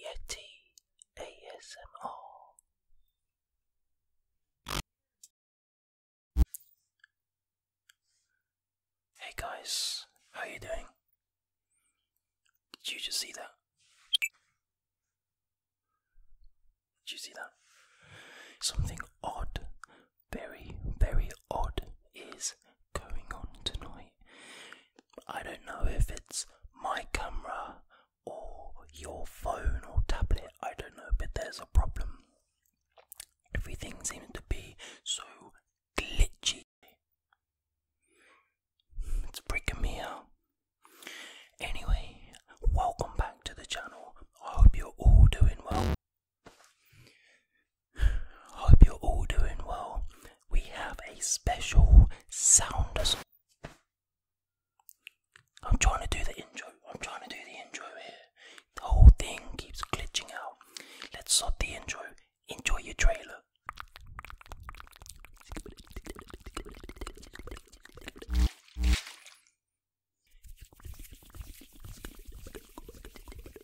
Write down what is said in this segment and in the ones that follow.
Yeti ASMR. Hey guys, how are you doing? Did you just see that? Did you see that? Something odd, very, very odd is going on tonight. I don't know if it's my camera or your phone or tablet, I don't know, but there's a problem. Everything seems to be so glitchy. It's freaking me out. Anyway, welcome back to the channel. I hope you're all doing well. Hope you're all doing well. We have a special sound. I'm trying to do the intro. I'm trying to do the intro here. The whole thing keeps glitching out. Let's stop the intro. Enjoy your trailer.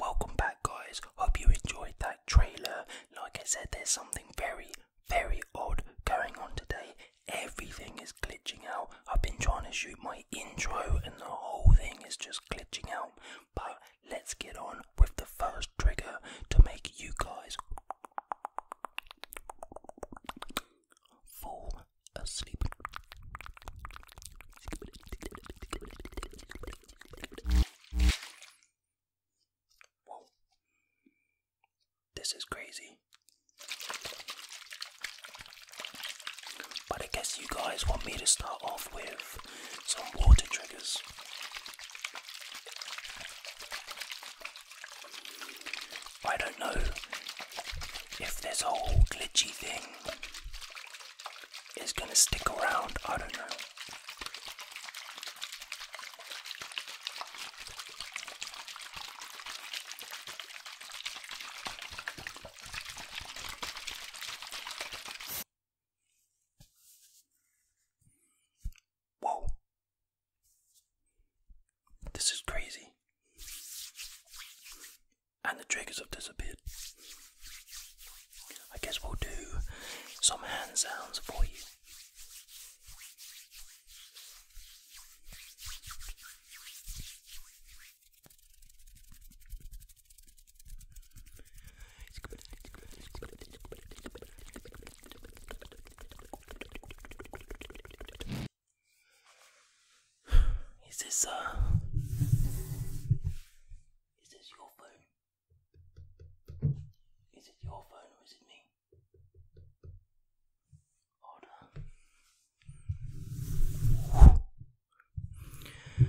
Welcome back, guys. Hope you enjoyed that trailer. Like I said, there's something very, very odd going on today. Everything is glitching out. I've been trying to shoot my intro, and the whole thing is just glitching out. But let's get on with the first trigger to make you guys fall asleep. This is crazy. But I guess you guys want me to start off with some water triggers. I don't know if this whole glitchy thing is going to stick around. I don't know. Whoa. This is crazy. And the triggers have disappeared. I guess we'll do some hand sounds for you. Is this uh Is this your phone? Is it your phone or is it me? Hold on.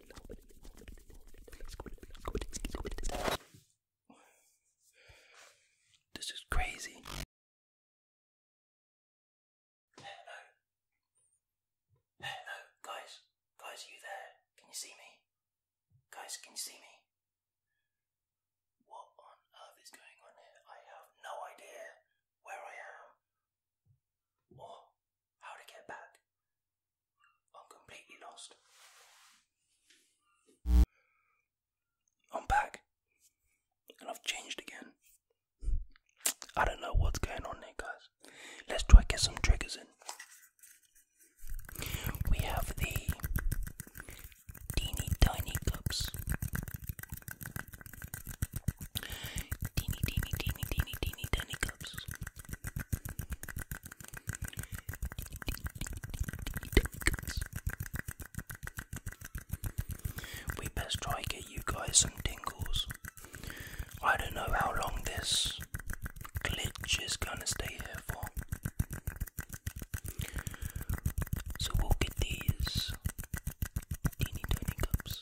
This is crazy. Hello. Hello, guys. Guys, are you there? Can you see me? Guys, can you see me? What on earth is going on here? I have no idea where I am or how to get back. I'm completely lost. I'm back. And I've changed again. I don't know what's going on there, guys. Let's try get some triggers in. We have the teeny tiny cups. Teeny teeny teeny teeny teeny tiny we best try get you guys some tingles. I don't know how long this glitch is gonna stay here for. So we'll get these teeny tiny cups.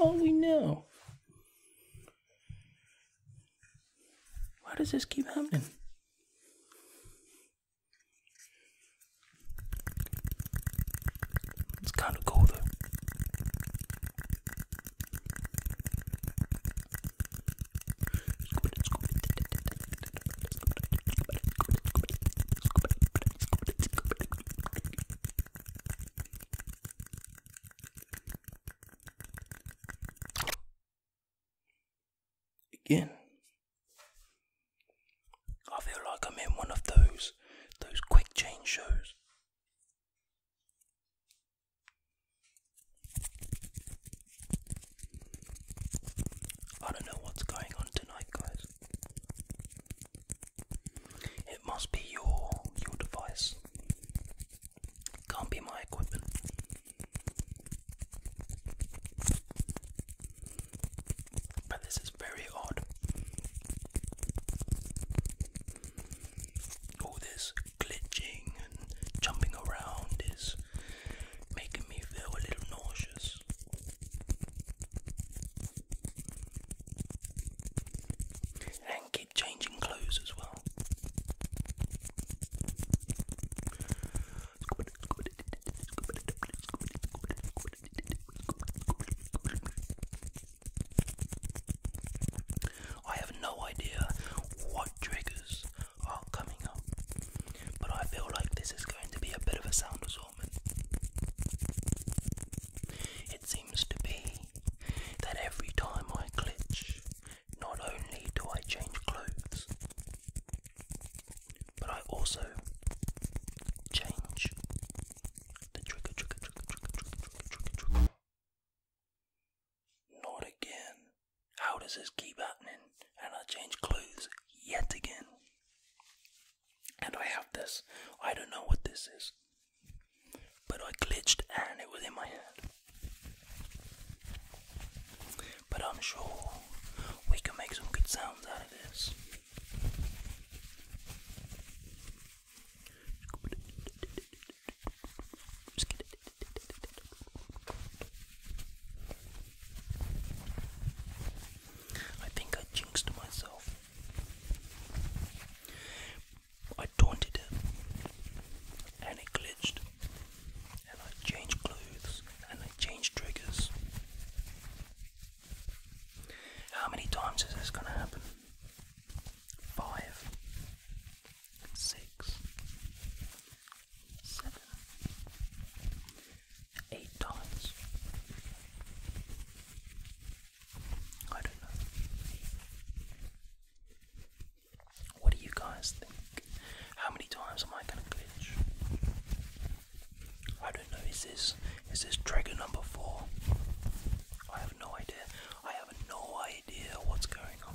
all we know. Why does this keep happening? It's kind of colder. Again, I feel like I'm in one of those those quick change shows. I don't know what's going on tonight, guys. It must be your your device. Can't be my equipment. But this is very odd all this glitching and jumping around is making me feel a little nauseous. And keep changing clothes as well. I have no idea what triggers are coming up, but I feel like this is going to be a bit of a sound assortment. It seems to be that every time I glitch, not only do I change clothes, but I also change the trigger, not again. How does this keep happening? And I change clothes yet again. And I have this. I don't know what this is. But I glitched and it was in my hand. But I'm sure we can make some good sounds out of this. I think I jinxed myself. I taunted it and it glitched. And I changed clothes and I changed triggers. How many times is this gonna happen? Five six, seven, eight times. I don't know. What do you guys think? How many times am I gonna glitch? I don't know. Is this is this trigger number four? I have no idea. I have no idea what's going on.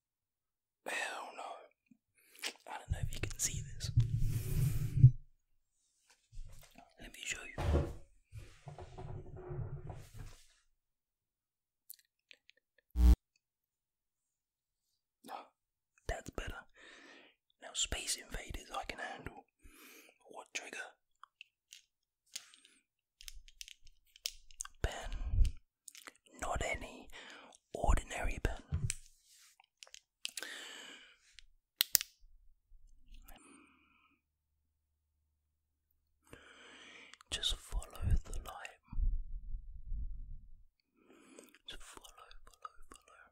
I do I don't know if you can see this. Let me show you. that's better. Now, Space Invaders I can handle. What trigger? Pen. Not any ordinary pen. Just follow the light. Just follow, follow, follow.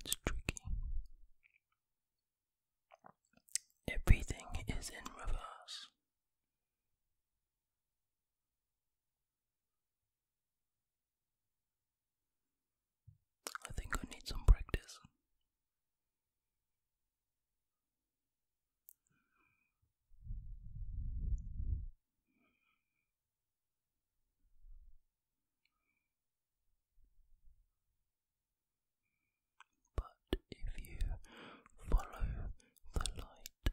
It's tricky. Everything is in reverse. I think I need some practice. But if you follow the light,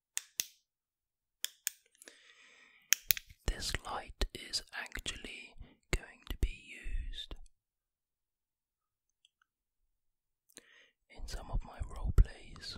This light is actually going to be used in some of my role plays.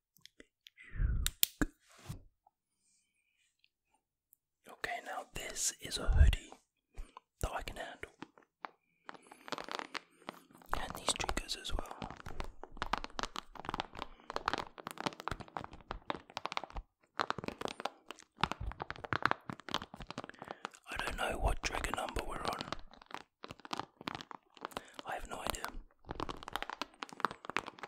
Okay, now this is a hoodie that I can handle. And these triggers as well. I don't know what trigger number we're on. I have no idea.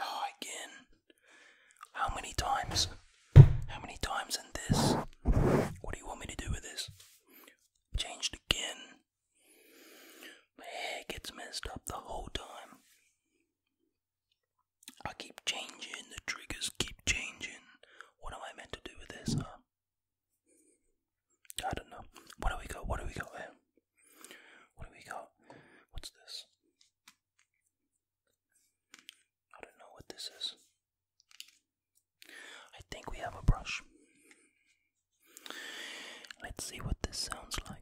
Oh, again. How many times? How many times in this? What do you want me to do with this? Changed again. My hair gets messed up the whole time. I keep changing, the triggers keep changing. What am I meant to do with this, I don't know. What do we got? What do we got here? What do we got? What's this? I don't know what this is. I think we have a brush. Let's see what this sounds like.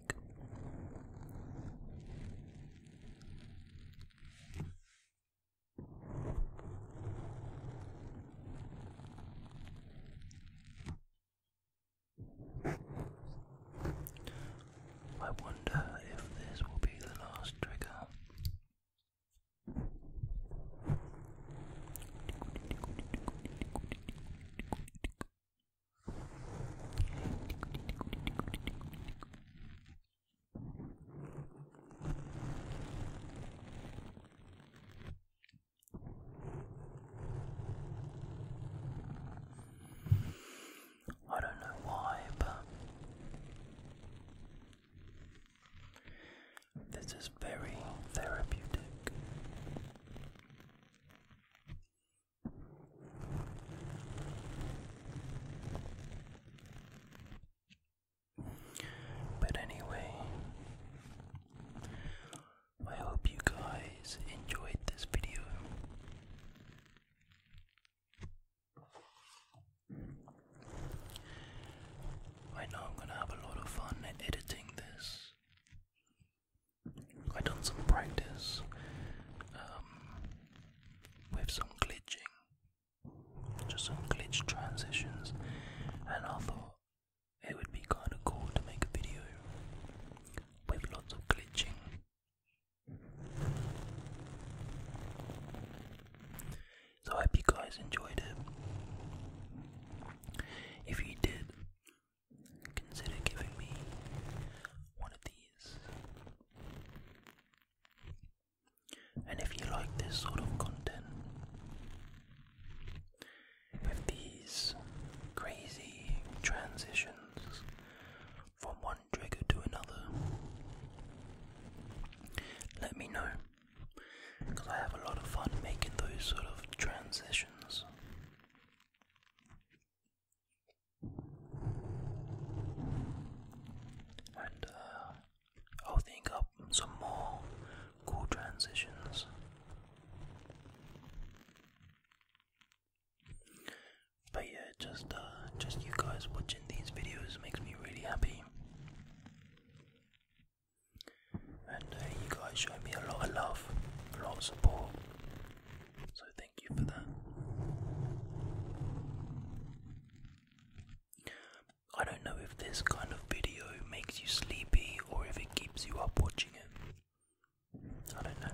I wonder if this will be the last trigger. I don't know why, but this is very therapeutic. But anyway, I hope you guys enjoyed this video. I know I'm gonna have a lot of fun editing this. I done some practice um, with some glitching, just some glitch transitions, and I thought it would be kind of cool to make a video with lots of glitching so I hope you guys enjoyed it. If you did, consider giving me one of these. And if you like this sort of content, with these crazy transitions from one one trigger to another, let me know because I have a lot of fun making those sort of transitions. And uh, I'll think up some more cool transitions. But yeah, just uh, just you guys watching these videos makes me really happy. And uh, you guys show me a lot of love, a lot of support. So thank you for that. I don't know if this kind of video makes you sleepy or if it keeps you up watching it. I don't know.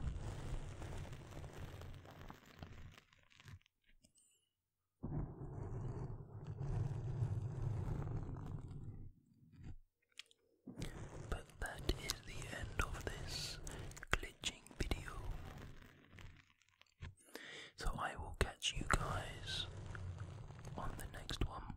But that is the end of this glitching video. So I will catch you guys on the next one.